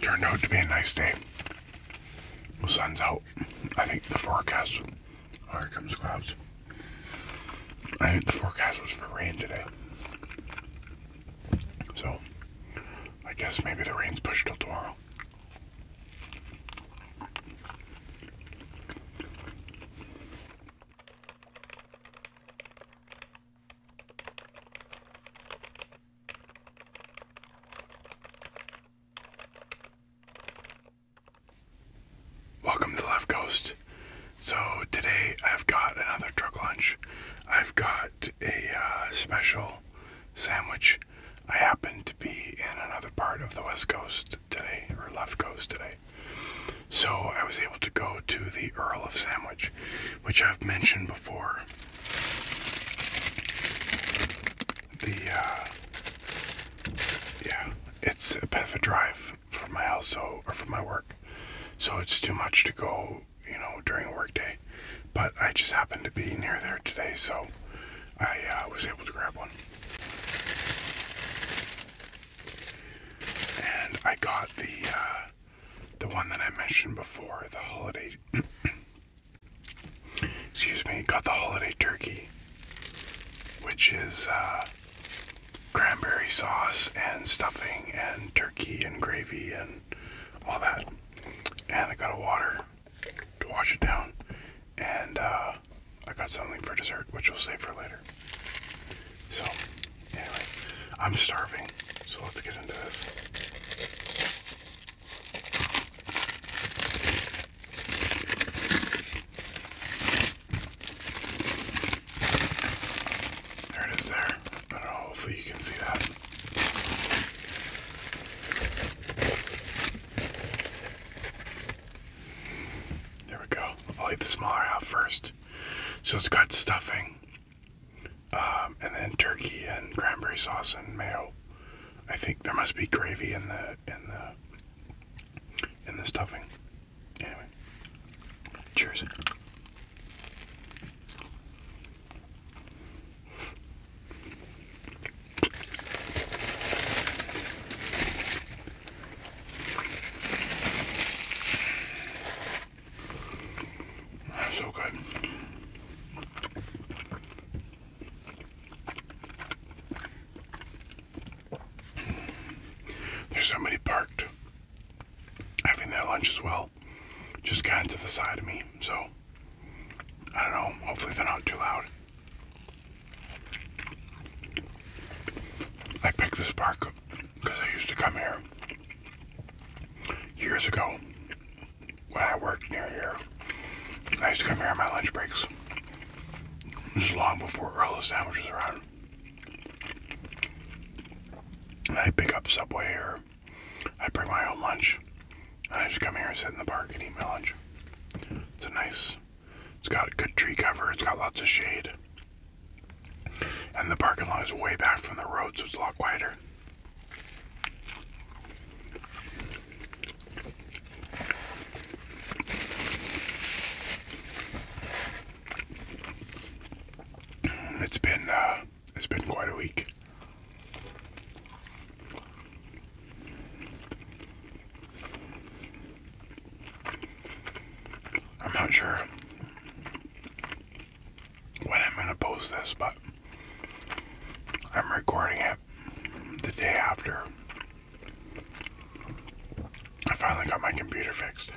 Turned out to be a nice day. The sun's out. I think the forecast. Oh, here comes clouds. I think the forecast was for rain today. So, I guess maybe the rain's pushed till tomorrow. Welcome to the Left Coast. So today I've got another truck lunch. I've got a uh, special sandwich. I happen to be in another part of the West Coast today, or Left Coast today. So I was able to go to the Earl of Sandwich, which I've mentioned before. The, uh, yeah, it's a bit of a drive from my house or from my work. So it's too much to go, you know, during a work day. But I just happened to be near there today, so I uh, was able to grab one. And I got the, uh, the one that I mentioned before, the holiday. Excuse me, got the holiday turkey, which is uh, cranberry sauce and stuffing and turkey and gravy and all that. And I got a water to wash it down. And uh, I got something for dessert, which we'll save for later. So, anyway, I'm starving, so let's get into this. There it is there. hopefully you can see that. There we go. I'll eat the smaller out first. So it's got stuffing, um, and then turkey and cranberry sauce and mayo. I think there must be gravy in the in the in the stuffing. Anyway, cheers. So good. There's somebody parked having their lunch as well, just kind of to the side of me. So, I don't know, hopefully they're not too loud. I picked this park because I used to come here years ago when I worked near here. I used to come here on my lunch breaks. This is long before Earl of Sandwich was around. I'd pick up Subway here. I'd bring my own lunch. And I just come here and sit in the park and eat my lunch. It's a nice, it's got good tree cover, it's got lots of shade. And the parking lot is way back from the road, so it's a lot quieter. It's been uh, it's been quite a week. I'm not sure when I'm going to post this, but I'm recording it the day after I finally got my computer fixed.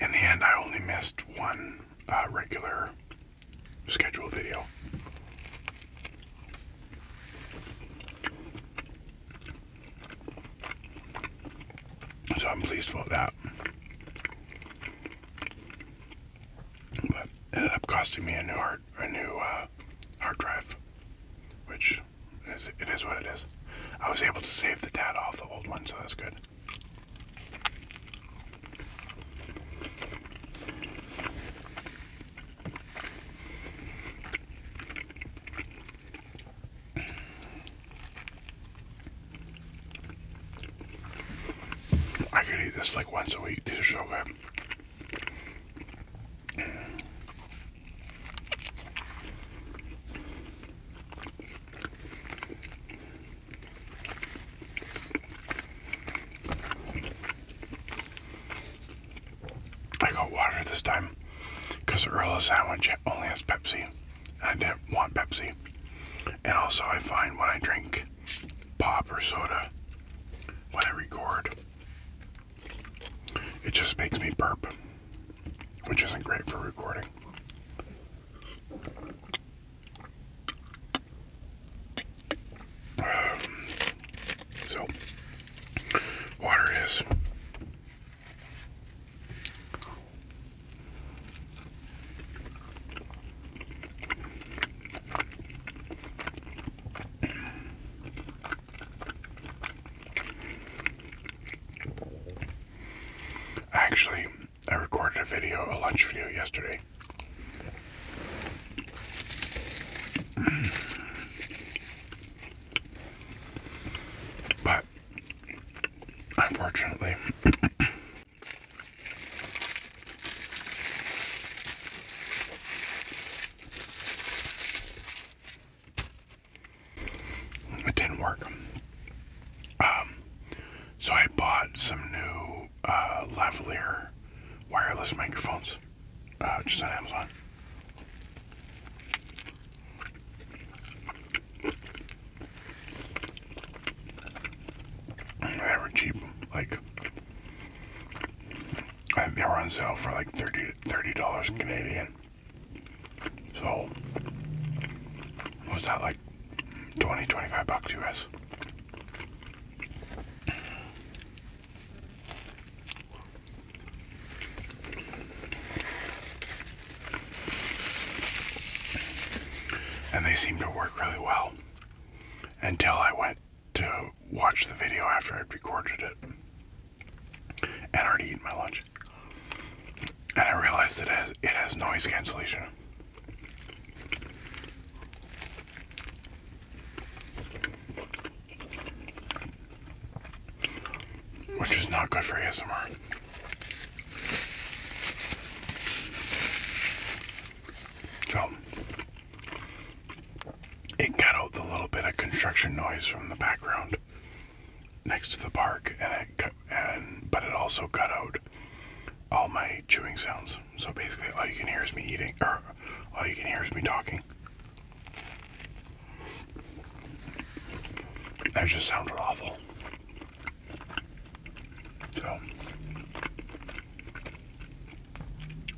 In the end, I only missed one uh, regular scheduled video. So I'm pleased about that. But ended up costing me a new hard a new uh, hard drive, which is it is what it is. I was able to save the data off the old one, so that's good. I could eat this like once a week. These are so good. I got water this time because Earl's sandwich only has Pepsi. I didn't want Pepsi. And also, I find when I drink pop or soda, when I record, it just makes me burp, which isn't great for recording. Um, so, water is. Actually, I recorded a video, a lunch video yesterday. But unfortunately, it didn't work. Um, so I bought some new uh, wireless microphones uh, just on Amazon. They were cheap, like they were on sale for like 30 dollars Canadian. So what's that like 20 25 bucks US? And they seem to work really well until I went to watch the video after I'd recorded it and already eaten my lunch. And I realized that it has, it has noise cancellation. Which is not good for ASMR. So, it cut out the little bit of construction noise from the background next to the park, and it cut, and but it also cut out all my chewing sounds. So basically, all you can hear is me eating, or all you can hear is me talking. That just sounded awful. So,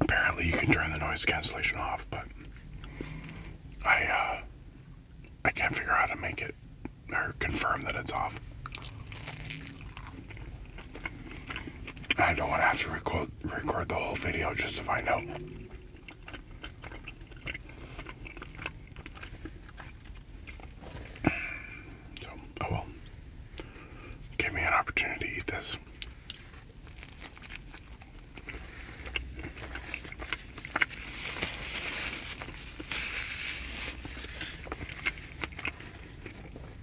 apparently, you can turn the noise cancellation off, but I, uh, I can't figure out how to make it or confirm that it's off. I don't want to have to record, record the whole video just to find out. oh well. Give me an opportunity to eat this.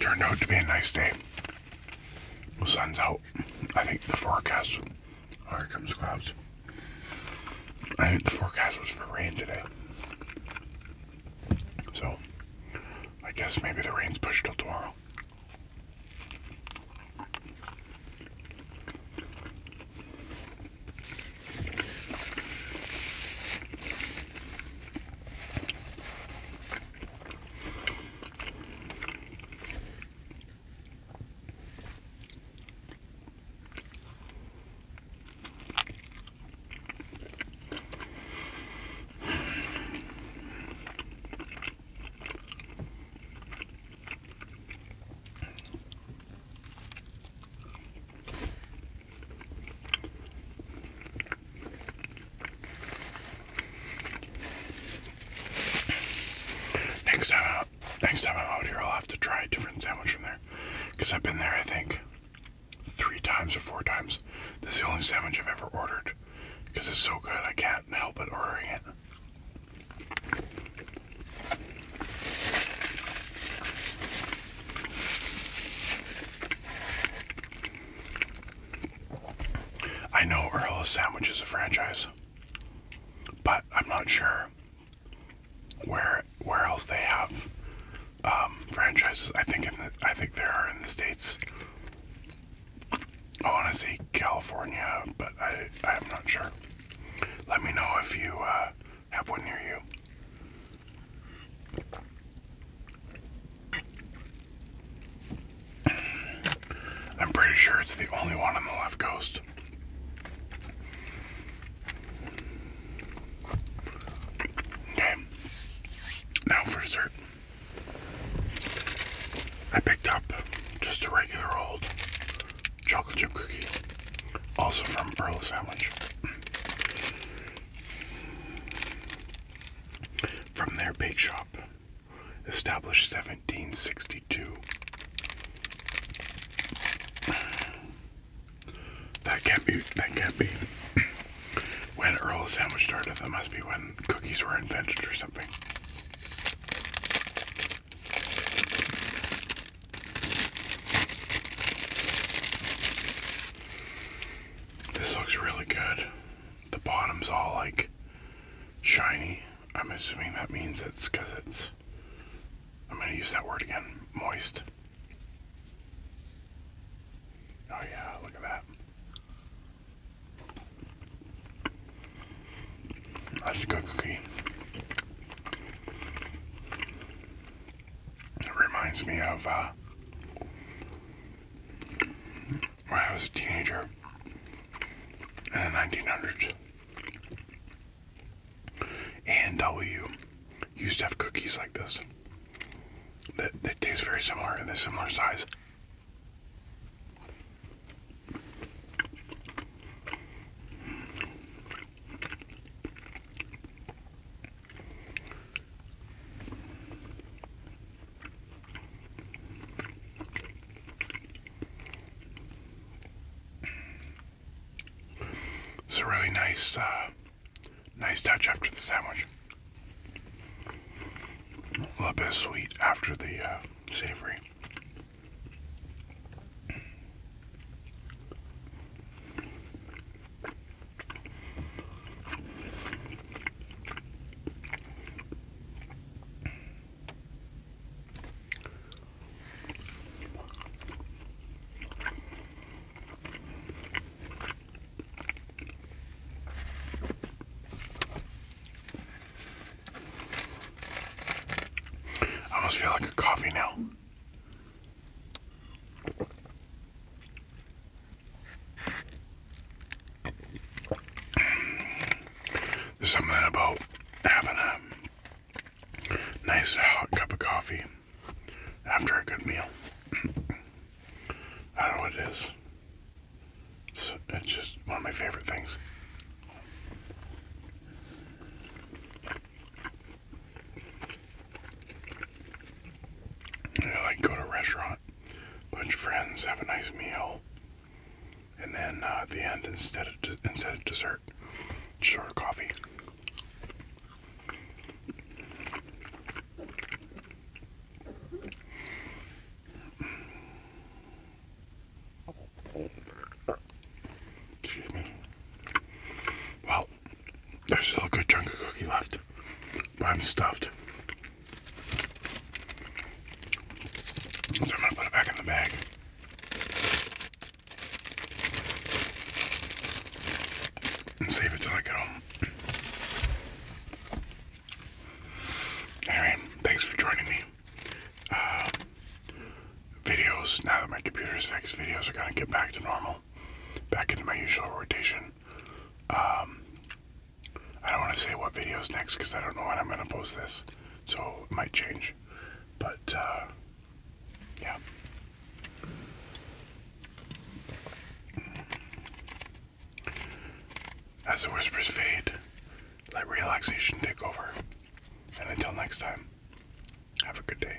Turned out to be a nice day. The sun's out. I think the forecast here comes clouds. I think the forecast was for rain today. So, I guess maybe the rain's pushed till tomorrow. Next time uh, Next time I'm out here, I'll have to try a different sandwich from there. Because I've been there, I think, three times or four times. This is the only sandwich I've ever ordered. Because it's so good, I can't help but ordering it. I know Earl's Sandwich is a franchise, but I'm not sure where where else they have um, franchises. I think in the, I think there are in the states. I want to say California, but I I'm not sure. Let me know if you uh, have one near you. I'm pretty sure it's the only one on the left coast. Okay. Now for dessert. I picked up just a regular old chocolate chip cookie, also from Earl's Sandwich. From their bake shop, established 1762. That can't be, that can't be when Earl Sandwich started. That must be when cookies were invented or something. This looks really good. The bottom's all like shiny. I'm assuming that means it's because it's I'm going to use that word again moist. Oh, yeah, look at that. That's good cookie. It reminds me of uh, when I was a teenager in the 1900s and w used to have cookies like this that they taste very similar and they're similar size. It's a really nice, uh, nice touch after the sandwich. A little bit of sweet after the uh, savory. I almost feel like a coffee now. There's something about having a Nice hot uh, cup of coffee after a good meal. I don't know what it is. It's, just one of my favorite things. I like go to restaurant, bunch friends, have a nice meal, and then uh, at the end, instead of instead of dessert, just order coffee. Excuse me. Well, there's still a good chunk of cookie left, but I'm stuffed. So I'm gonna put it back in the bag save it till I get home. Anyway, thanks for joining me. Uh, videos, now that my computer's fixed, videos are gonna get back to normal, back into my usual rotation. Um, I don't want to say what videos next because I don't know when I'm going to post this, so it might change. But, uh, yeah. As the whispers fade, let relaxation take over. And until next time, have a good day.